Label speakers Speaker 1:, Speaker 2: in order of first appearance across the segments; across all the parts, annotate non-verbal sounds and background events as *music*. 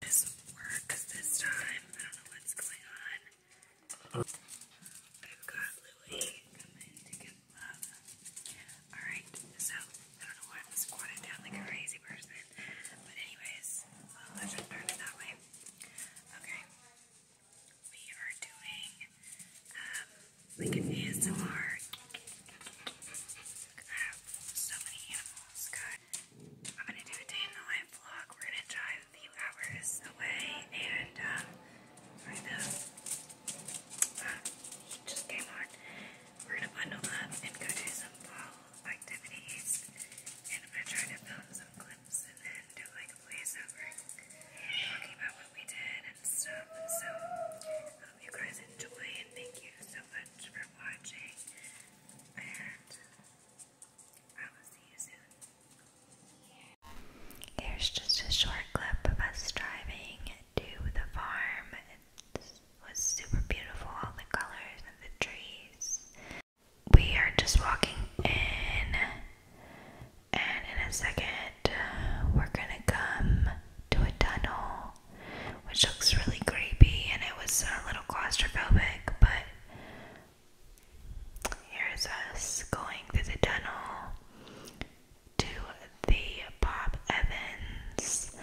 Speaker 1: this work this time. I don't know what's going on. I've got Louie coming to get love. Alright, so I don't know why I'm squatting down like a crazy person. But anyways, well, I turn it that way. Okay. We are doing um like an ASMR. I have so many animals, guys. I'm gonna do a day in the life vlog. We're gonna drive a few hours away, and um, just came on, we're gonna bundle up and go do some fall activities. And I'm gonna try to film some clips and then do like a voiceover talking about what we did and stuff. So hope you guys enjoy, and thank you so much for watching and just a short clip of us driving to the farm. It was super beautiful, all the colors and the trees. We are just walking in, and in a second, we're gonna come to a tunnel which looks really creepy and it was a little claustrophobic, but here's us going through the tunnel to the Bob Evans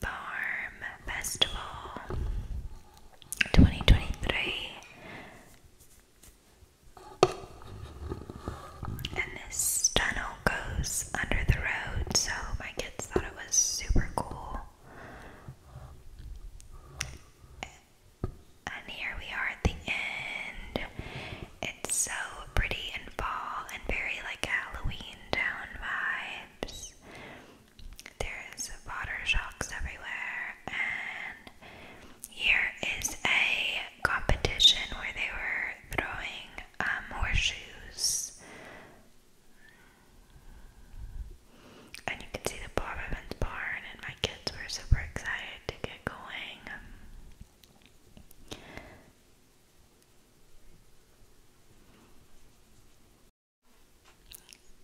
Speaker 1: Farm Festival 2023. And this tunnel goes under the road, so my kids thought it was super cool. And here we are at the end. It's so pretty and fall and very like Halloween town vibes. There's water shocks everywhere, and here is a competition where they were throwing more um, shoes. And you can see the Bob Evans barn, and my kids were super excited to get going.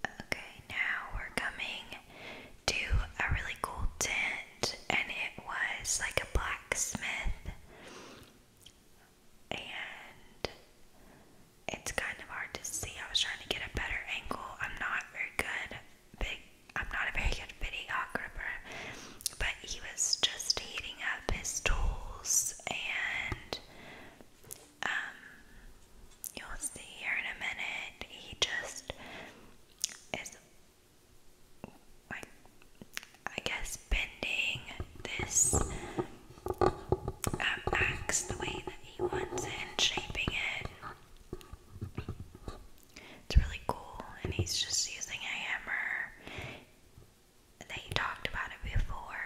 Speaker 1: Okay, now we're coming to a really cool tent, and it was like a blacksmith and it's kind of hard to see. I was trying to get a better angle. I'm not very good I'm not a very good videographer, but he was just heating up his tools and um you'll see here in a minute he just is like I guess bending this um, axe the way that he wants and shaping it. It's really cool, and he's just using a hammer. They talked about it before.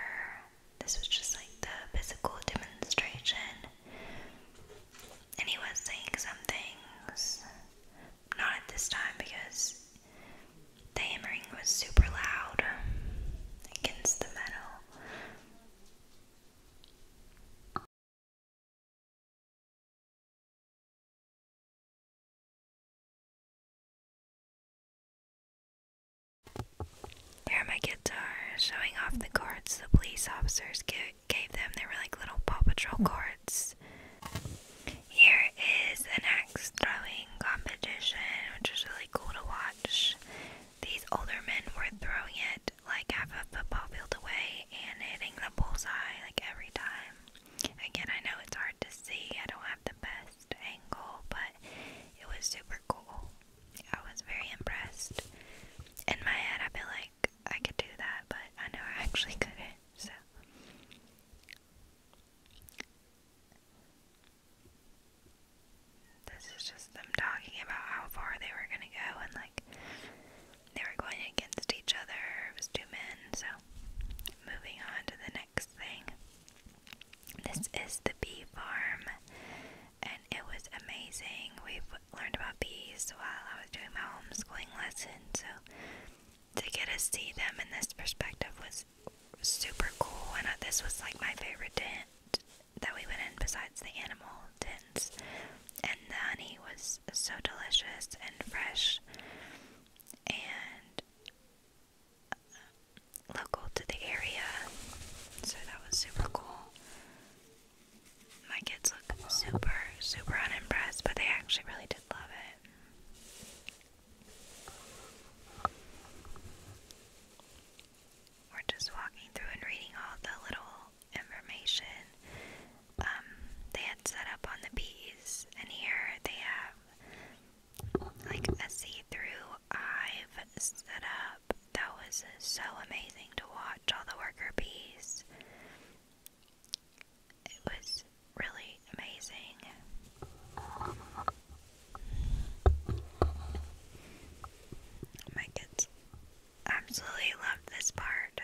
Speaker 1: This was just like the physical demonstration. And he was saying some things, not at this time because the hammering was super loud against the metal. Here my guitars, showing off the chords the police officers gave, gave them. They were like little Paw Patrol chords. Here is an axe throwing throwing competition, which was really cool to watch. These older men were throwing it like half a football field away and hitting the bullseye like every time. Again, I know it's hard to see, I don't have the best angle, but it was super cool. I was very impressed. In my head, I feel like I could do that, but I know I *laughs* actually couldn't, so. This is just them talking about how far they were gonna go and like they were going against each other. It was two men, so moving on to the next thing. This is the bee farm, and it was amazing. We've learned about bees while I was doing my homeschooling lesson, so to get to see them in this perspective was super cool, and this was like my favorite tent that we went in besides the animal tents. And the honey was so delicious and fresh and uh, local to the area, so that was super cool. My kids look super, super unimpressed, but they actually really did love it. We're just walking through and reading all the little information um, they had set up on the bees, and here they have like a see through hive set up. That was so amazing to watch all the worker bees. It was really amazing. Oh my kids absolutely love this part.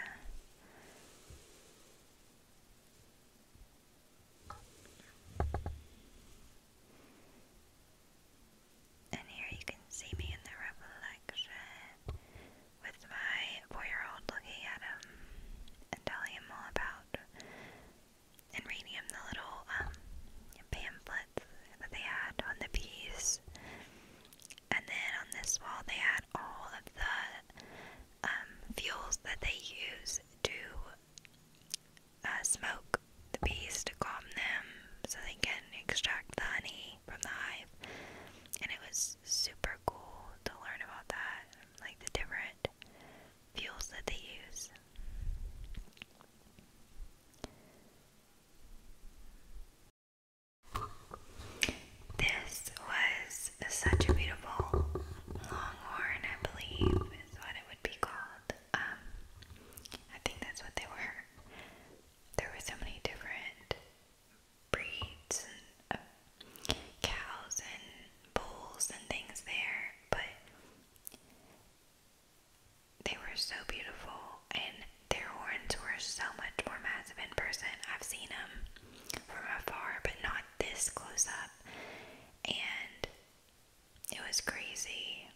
Speaker 1: And here you can see me in the reflection with my four year old looking at him and telling him all about and radium, the little um, that they had on the piece. And then on this wall, they had all of the um, fuels that they use to uh, smoke the bees to calm them so they can extract the honey from the hive. And it was super cool to learn about that, like the different fuels that they use. This was such a beautiful longhorn, I believe, is what it would be called. Um, I think that's what they were. There were so many different breeds and uh, cows and bulls and things there, but they were so beautiful, and their horns were so much more massive in person. I've seen them from afar, but not this close up, and it was crazy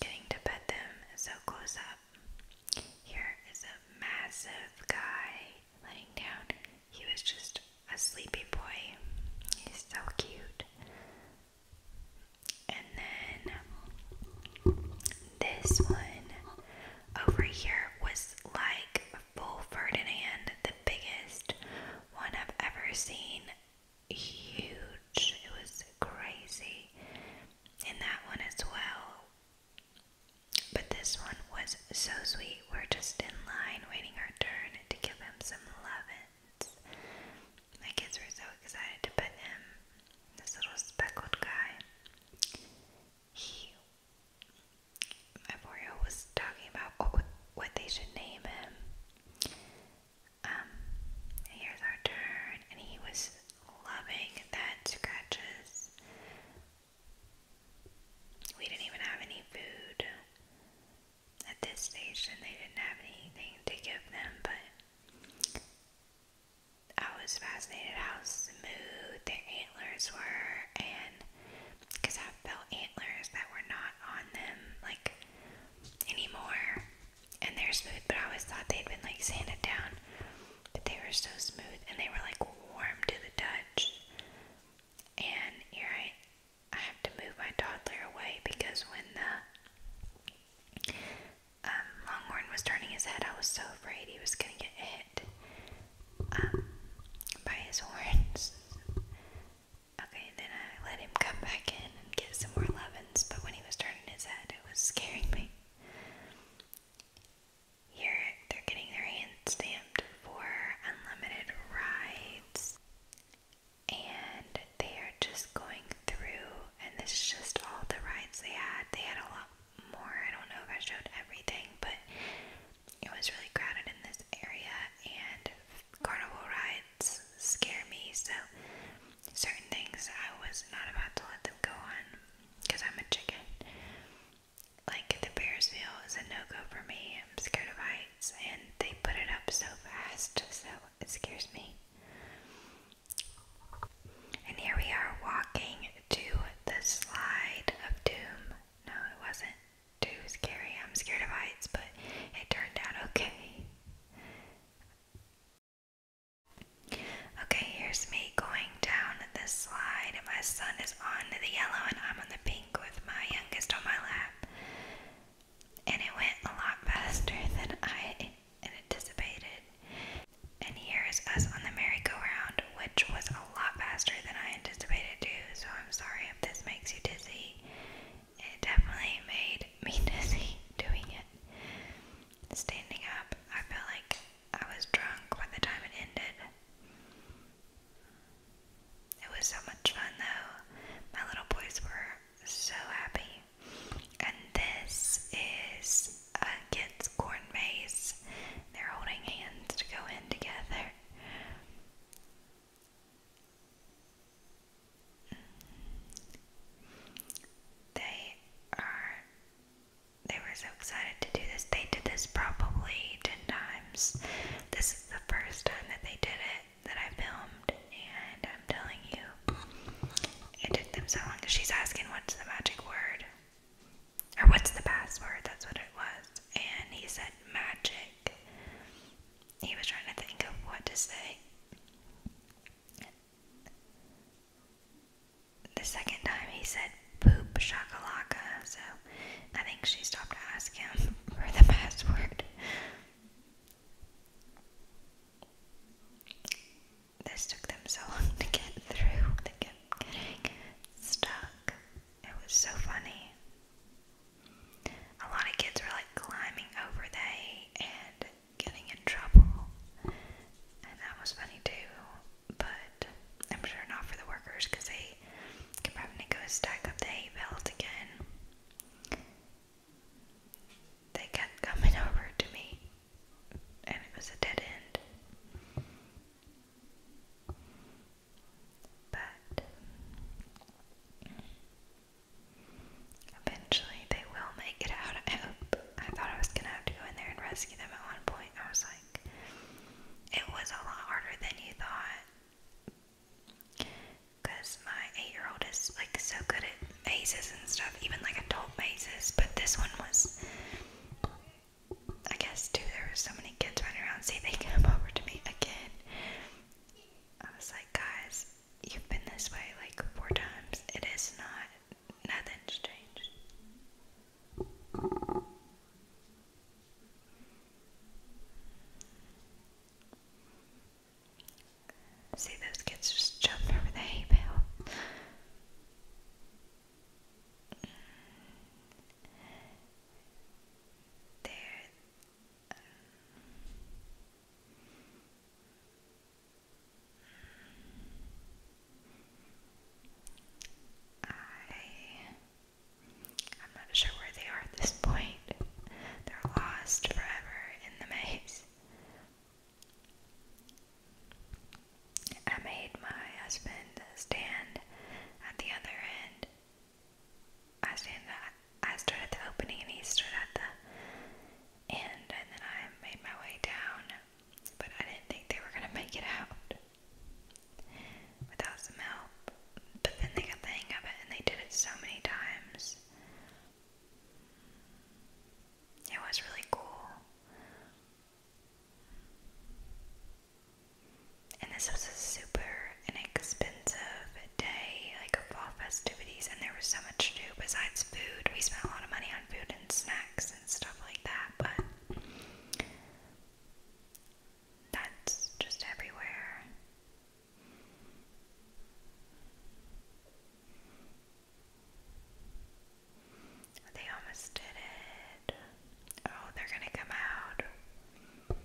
Speaker 1: getting to pet them so close up. Here is a massive guy laying down he was just a sleepy boy. He's so cute. And then this one over here was like Full Ferdinand, the biggest one I've ever seen. Huge. It was crazy. And that one as well. But this one was so sweet. We were just in line waiting our turn to give him some lovin's. My kids were so excited to pet him, this little speckled guy. my 4 was talking about what, they should name him. Um, here's our turn, and he was loving that scratches. We didn't even have any food. At this station, they didn't have anything to give them, but I was fascinated how smooth their antlers were, and because I felt antlers that were not on them like anymore, and they're smooth, but I always thought they'd been like sanded down, but they were so smooth and they were like warm to the touch. And you're right. I have to move my toddler away because when the um, longhorn was turning his head, I was so afraid he was going to get hit um, by his *laughs* horns. Okay, then I let him come back in and get some more lovin's, but when he was turning his head, it was scaring me. Here, they're getting their hands stamped for unlimited rides and they are just going through and this is just all the rides they had they had a lot more i don't know if i showed everything but it was really crowded in this area and carnival rides scare me so certain things i was not about to let them go on because i'm a chicken like the Bears meal is a no go for me. I'm scared of heights, and they put it up so fast, so it scares me. And here we are walking to the slide of doom. No, it wasn't too scary. I'm scared of heights, but it turned out okay. Okay, here's me going down this slide. My son is on the yellow and I'm on the pink with my youngest on my lap. And it went a lot faster than I anticipated. And here's us on the merry-go-round, which was a lot faster than I anticipated too, so I'm sorry if this makes you dizzy. It definitely made me *laughs* dizzy doing it. Standing up, I felt like I was drunk by the time it ended. It was so much fun though. My little boys were so happy. And this is a kid's corn maze. They're holding hands to go in together. They are they were so excited to do this. They did this probably ten times. This the first time that they did it that I filmed, and I'm telling you, it took them so long. She's asking, What's the magic word? Or what's the password? That's what it was. And he said, Magic. He was trying to think of what to say. The second time he said, Poop shakalaka, so I think she stopped to ask him *laughs* for the password. This took them so long to get through. They kept stuck. It was so funny. A lot of kids were like climbing over the and getting in trouble. And that was funny too. But I'm sure not for the workers because they I could probably go stack up the hay belt again. They kept coming *laughs* over to me, and it was a dead end. But eventually they will make it out. I hope. I thought I was gonna have to go in there and rescue them at one point. I was like, it was a lot harder than you thought. Because my eight year old is like so good at mazes and stuff, even like adult mazes, but this one was. I guess too, there were so many kids running around. See, they come *laughs* over to me again. I was like, guys, you've been this way like four times. It is not, nothing's changed. See, those kids just jump over the hay bale. There. Um, I I'm not sure where they are at this point. They're lost forever in the maze. I made my husband stand at the other end. I stand at, I stood at the opening and he stood at the end, and then I made my way down. But I didn't think they were gonna make it out without some help. But then they got the hang of it and they did it so many times. It was really cool. And this was a super inexpensive day, like of fall festivities, and there was so much to do besides food. We spent a lot of money on food and snacks and stuff like that, but that's just everywhere. They almost did it. Oh, they're gonna come out.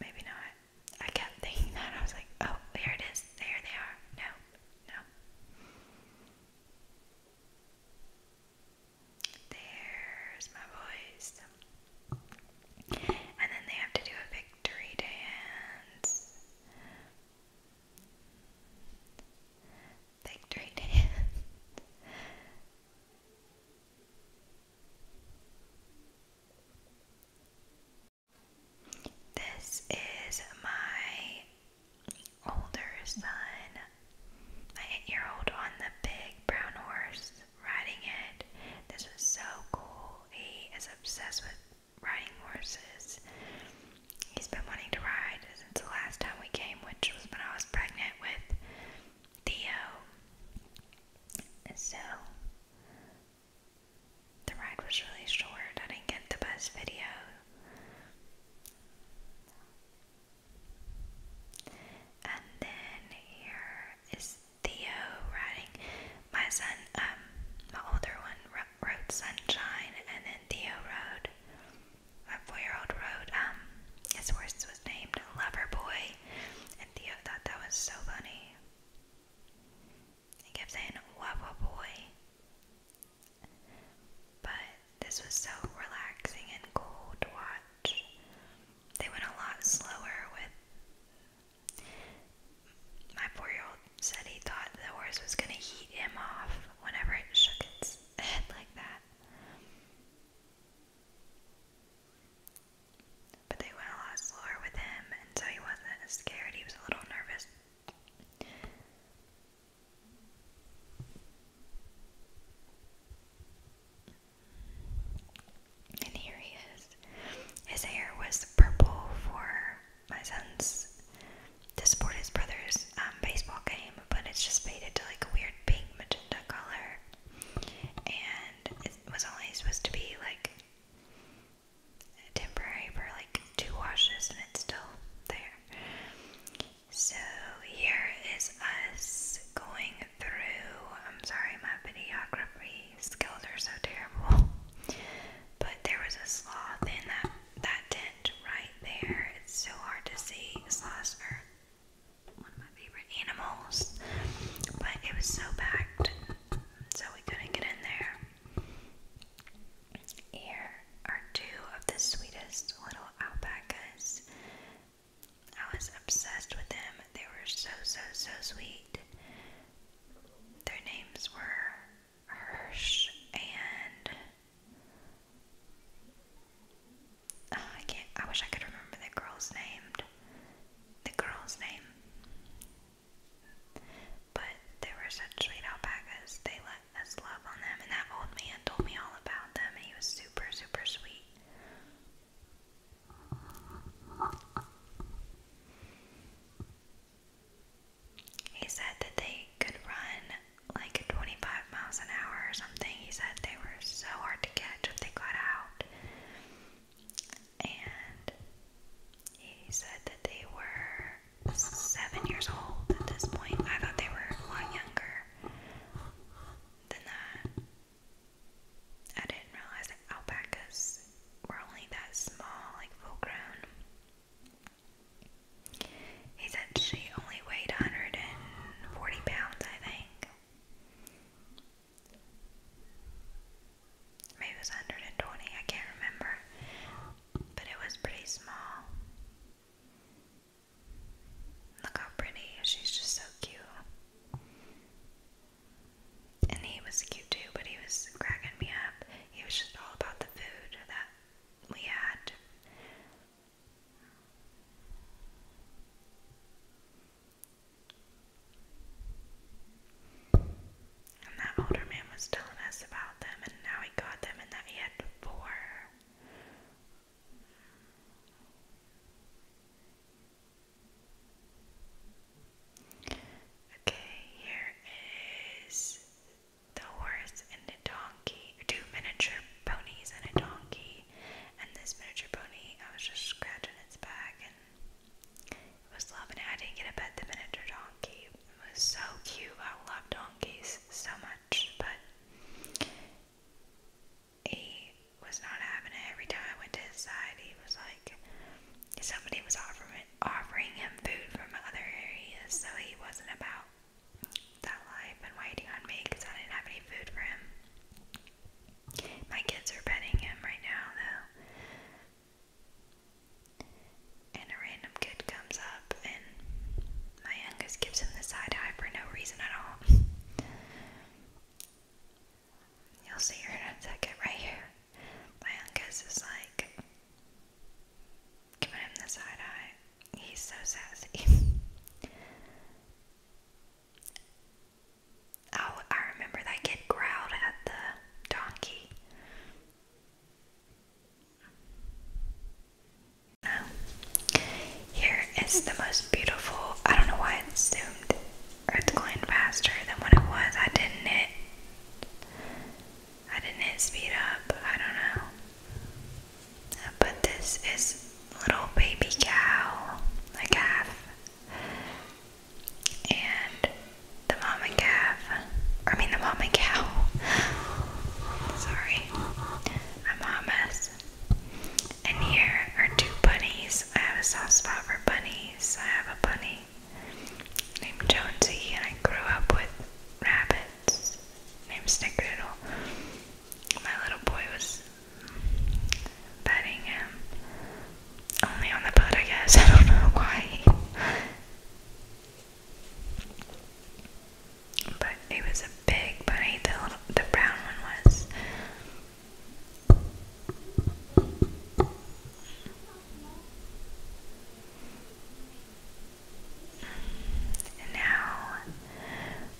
Speaker 1: Maybe not. I kept *laughs* thinking that. I was like, oh, here it is. There they are. No, no. There's my voice. And then they have to do a victory dance. Victory *laughs* dance. This is my older son my eight year old on the big brown horse riding it. This was so cool. He is obsessed with riding horses. He's been wanting to ride since the last time we came, which was when I was pregnant with Theo. So the ride was really short. I didn't get the best video. And then here is Theo writing. My son, um, my older one wrote Sunshine, and then Theo rode my four year old wrote, um, his horse was named Lover and Theo thought that was so funny. He kept saying, Wawa Boy. But this was so relaxing and cool to watch. They went a lot slower with. My four year old said he thought the horse was going to heat him off whenever it shook its *laughs* head like that. But they went a lot slower with him, and so he wasn't scared. He was a little nervous. And here he is. His hair was purple for my son's to support his brother's um, baseball game, but it's just faded to like a weird pink magenta color. And it was only supposed to be like temporary for like two washes, and it's still there. So here is us going through. I'm sorry, my videography skills are so terrible. But there was a sloth in that that tent right there. It's so hard to see. Sloths are one of my favorite animals. But it was so packed, so we couldn't get in there. Here are two of the sweetest little alpacas. I was obsessed with them. They were so, so, so sweet. Their names were Hirsch and. Oh, I can't. I wish I could remember the girl's name. The girl's name. But they were such sweet alpacas. They let us love on them. And that old man told me all about them. he was super super, super sweet. He said that they could run like 25 miles an hour or something. He said they were so hard to catch if they got out. And he said that they were seven years old at this point. I thought they were a younger than that. I didn't realize that alpacas were only that small, like full grown. He said she only weighed 140 pounds, I think. Maybe it was 120, I can't remember. But it was pretty small. Look how pretty. She's just so cute. And he was cute too, but he was cracking me up. He was just all about the food that we had. And that older man was telling us about them and how he got them and that he had four. Okay, here is the horse and the donkey, two miniature ponies and a donkey. And this miniature pony, I was just scratching its back and it was loving it. I didn't get to pet the miniature donkey. It was so cute. I love donkeys so much, but he was not having it. Every time I went to his side, he was like, somebody was offering offering him food from other areas, so he wasn't about that life and waiting on me because I didn't have any food for him. My kids are petting him right now, though. And a random kid comes up and my youngest gives him the side eye for no reason at all. You'll see her in a second, right here. My youngest is like giving him the side eye. He's so sassy. *laughs* oh, I remember that kid growled at the donkey. Now, here is the most beautiful. I don't know why it's zoomed or going faster than what it was. I didn't hit. I didn't speed up. I don't know. But this is little baby cow, a calf, and the mama calf. I mean the mama cow. *laughs* Sorry. Amamas. And here are two bunnies. I have a soft spot for bunnies. I have a bunny named Jonesy, and I grew up with rabbits named Snickerdoodle. My little boy was petting him. Only on the boat, I guess. *laughs* I don't know why but it was a big bunny. The little, the brown one was. now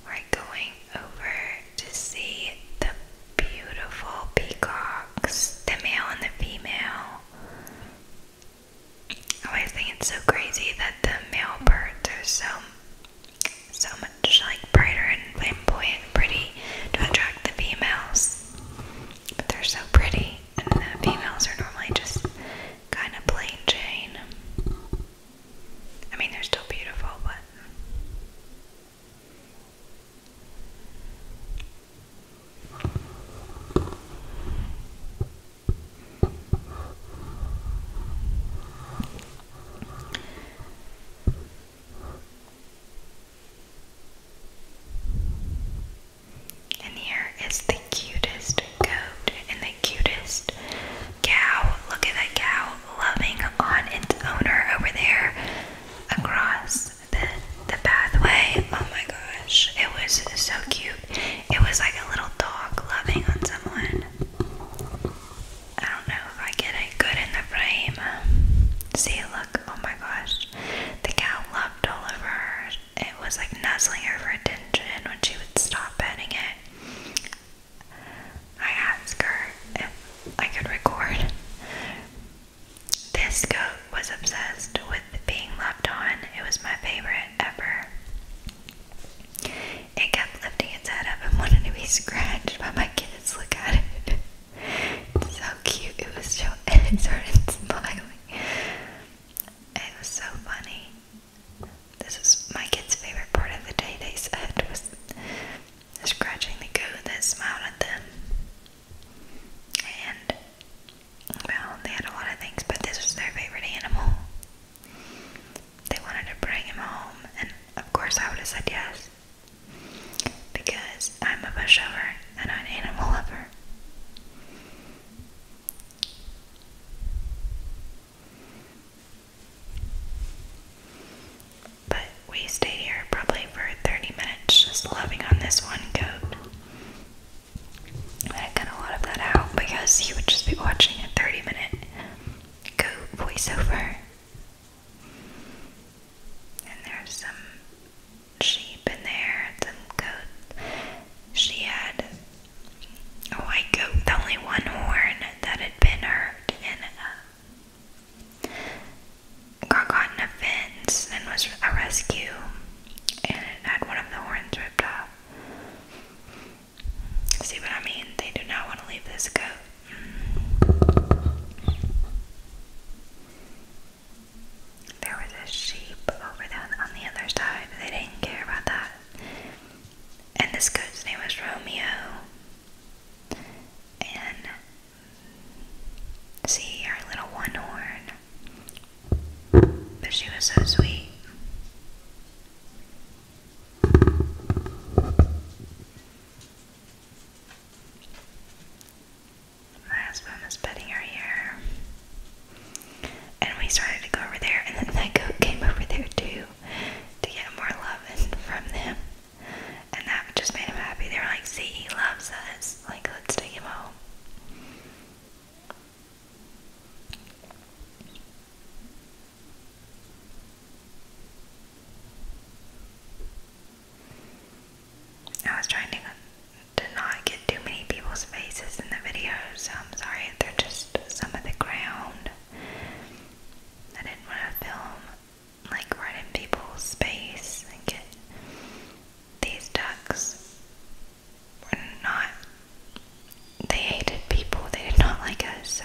Speaker 1: we're going over to see the beautiful peacocks, the male and the female. I always think it's so crazy that the male birds are so so much like brighter and flamboyant and pretty to attract the females. But they're so pretty and the females are normally just kind of plain Jane. I mean they're still beautiful but and here is the cutest goat and the cutest cow. Look at that cow loving on its owner over there across the, the pathway. Oh my gosh, it was so cute. It was like a little dog loving on someone. I don't know if I get it good in the frame. See, look, oh my gosh. The cow loved all over her. It was like nuzzling her for attention when she would stop petting it. I asked her if I could record. This goat was obsessed with being loved on. It was my favorite ever. It kept lifting its head up and wanted to be scratched by my kids. Look at it. It's so cute. It was so and *laughs* it started smiling. It was so funny. This is my kids' favorite part of the day, they said, was scratching the goat that smiled at them. And well, they had a lot of things, but this was their favorite animal. They wanted to bring him home, and of course, I would have said yes because I'm a pushover and I'm an animal lover. But we stayed here probably for 30 minutes just loving on this one coat. I cut a lot of that out because he would just be watching a 30 minute go voiceover. And there's some sheep in there, and some goats. She had a white goat with only one horn that had been hurt and uh, got caught in a fence and was a rescue. And it had one of the horns ripped off. See what I mean? They do not want to leave this goat. There was a sheep over there on the other side. They didn't care about that. And this goat's name was Romeo. And see our little one horn but she was so sweet. My husband was petting her hair. And we started to go over there, and then that goat came over there too to get more love from them. And that just made him happy. They were like, see, he loves us. Like, let's take him home. I was trying to, to not get too many people's faces in the video, I'm sorry they're just some of the ground. I didn't want to film like right in people's space and get these ducks were not, they hated people, they did not like us, so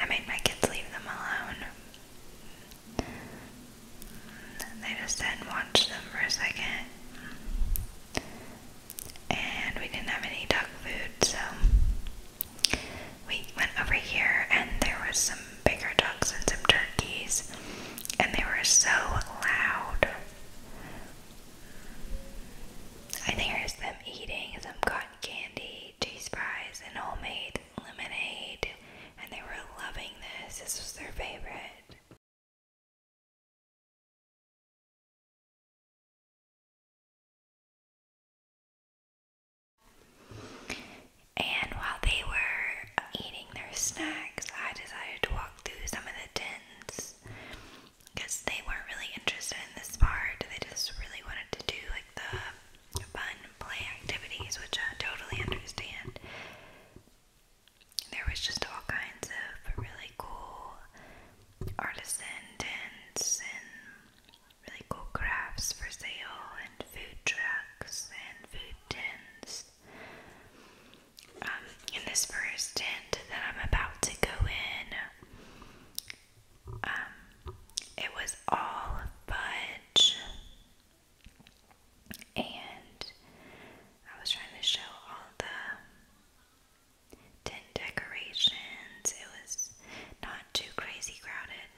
Speaker 1: I made my kids leave them alone. They just didn't watch them for a second. And we didn't have any duck food, so we went over here and there was some bigger ducks and some turkeys, and they were so loud. I think there's them eating some cotton candy, cheese fries, and homemade lemonade, and they were loving this. This was their favorite. And while they were eating their snacks, I decided to walk through some of the tents because they weren't really interested in this part. They just really wanted to do like the fun play activities, which I totally understand. There was just all kinds of really cool artisan tents and really cool crafts for sale, and food trucks and food tins. Um, in this first tent that I'm about to go in, um, it was all fudge, and I was trying to show all the tent decorations. It was not too crazy crowded,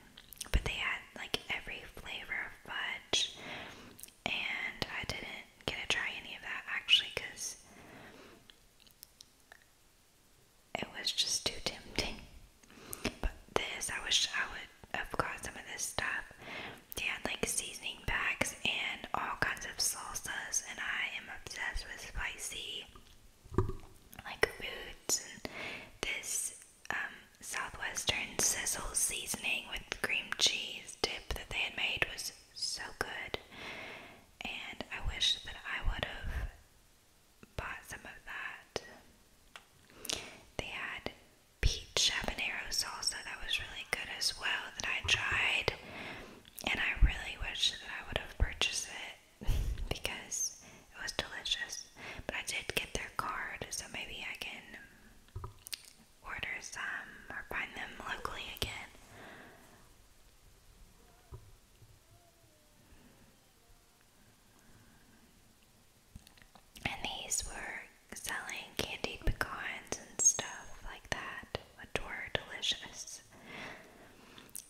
Speaker 1: but they had like every flavor of fudge and I didn't get to try any of that actually because it was just too tempting. But this, I wish I would have got some of this stuff. They had like seasoning packs and all kinds of salsas, and I am obsessed with spicy like foods. this um, Southwestern sizzle seasoning with cream cheese dip that they had made was so good. And I wish that I would have bought some of that. They had peach habanero salsa that was really good as well that I tried. And I really wish that I would have purchased it *laughs* because it was delicious. But I did get their card, so maybe I can order some um, or find them locally again. And these were selling candied pecans and stuff like that, which were delicious.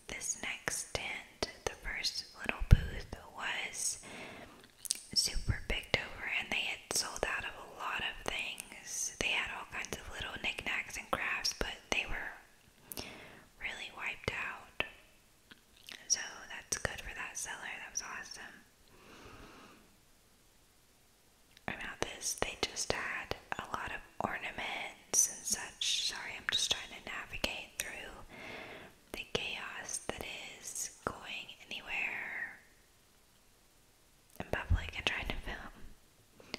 Speaker 1: This next tent, the first little booth, was super picked over, and they had sold out of a lot of things. They had all kinds of little knickknacks and crafts, but they were really wiped out. So that's good for that seller. That was awesome. About this, they just had a lot of ornaments and such. Sorry, I'm just trying to navigate through the chaos that is going anywhere in public and trying to film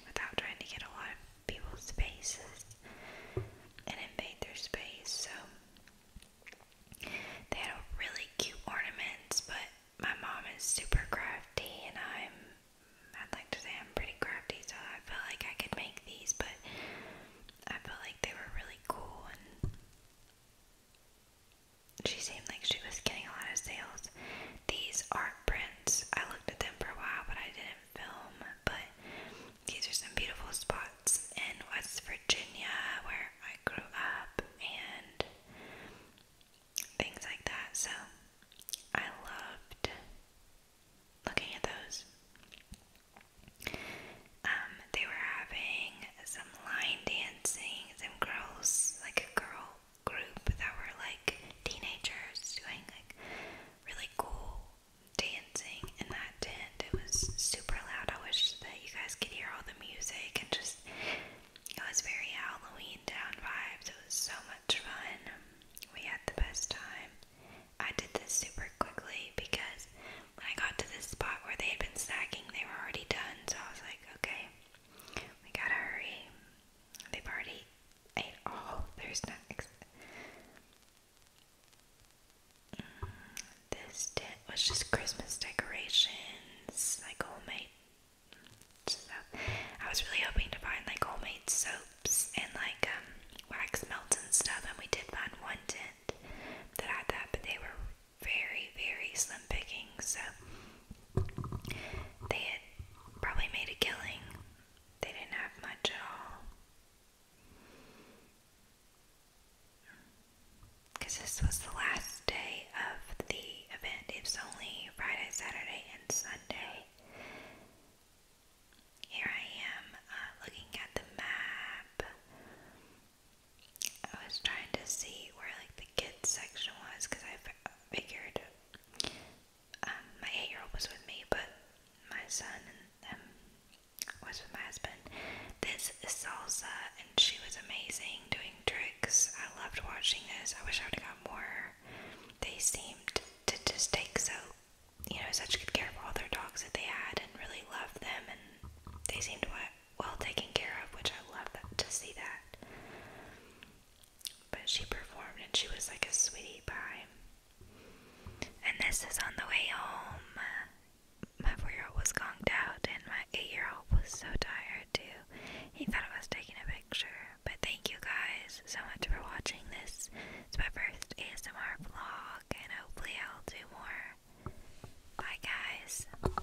Speaker 1: without trying to get a lot of people's faces and invade their space. So they had really cute ornaments, but my mom is super crafty and I'm I'd like to say I'm pretty crafty, so I felt like I could make these, but I felt like they were really cool she seemed like she was getting a lot of sales. These art prints, I looked at them for a while, but I didn't film. But these are some beautiful spots in West Virginia where I grew up and things like that. So I loved looking at those. Um, they were having some line dancing, some girls, like a girl group that were like teenagers doing like really cool dancing in that tent. It was super loud. I wish that you guys could hear all the music and just it was very Halloween town vibes. It was so much fun. We had the best time. I did this super quickly because when I got to this spot where they had been snacking, they were already done. So I was like, okay, we gotta hurry. They've already ate all. There's not. Mm, this tent was just Christmas decorations, like homemade stuff. I was really hoping to find like homemade soaps and like um, wax melts and stuff, and we did find one tent that had that, but they were very, very slim pickings, so they had probably made a killing. They didn't have much at all. Because this was the last day of the event. It only Friday, Saturday, and Sunday. Here I am uh, looking at the map. I was trying to see where like the kids section was because I figured um, my eight-year-old was with me, but my son and um, was with my husband. This is salsa, and she was amazing doing tricks. I loved watching this. I wish I would have got more. They seemed to just take so you know such good care of all their dogs that they had, and really loved them, and they seemed to well taken care of, which I love to see that. But she performed and she was like a sweetie pie. And this is on the way home. My four year old was conked out, and my eight year old was so tired too. He thought I was taking a picture. But thank you guys so much for watching this. It's my first ASMR vlog, and hopefully, I'll do more. Bye, guys.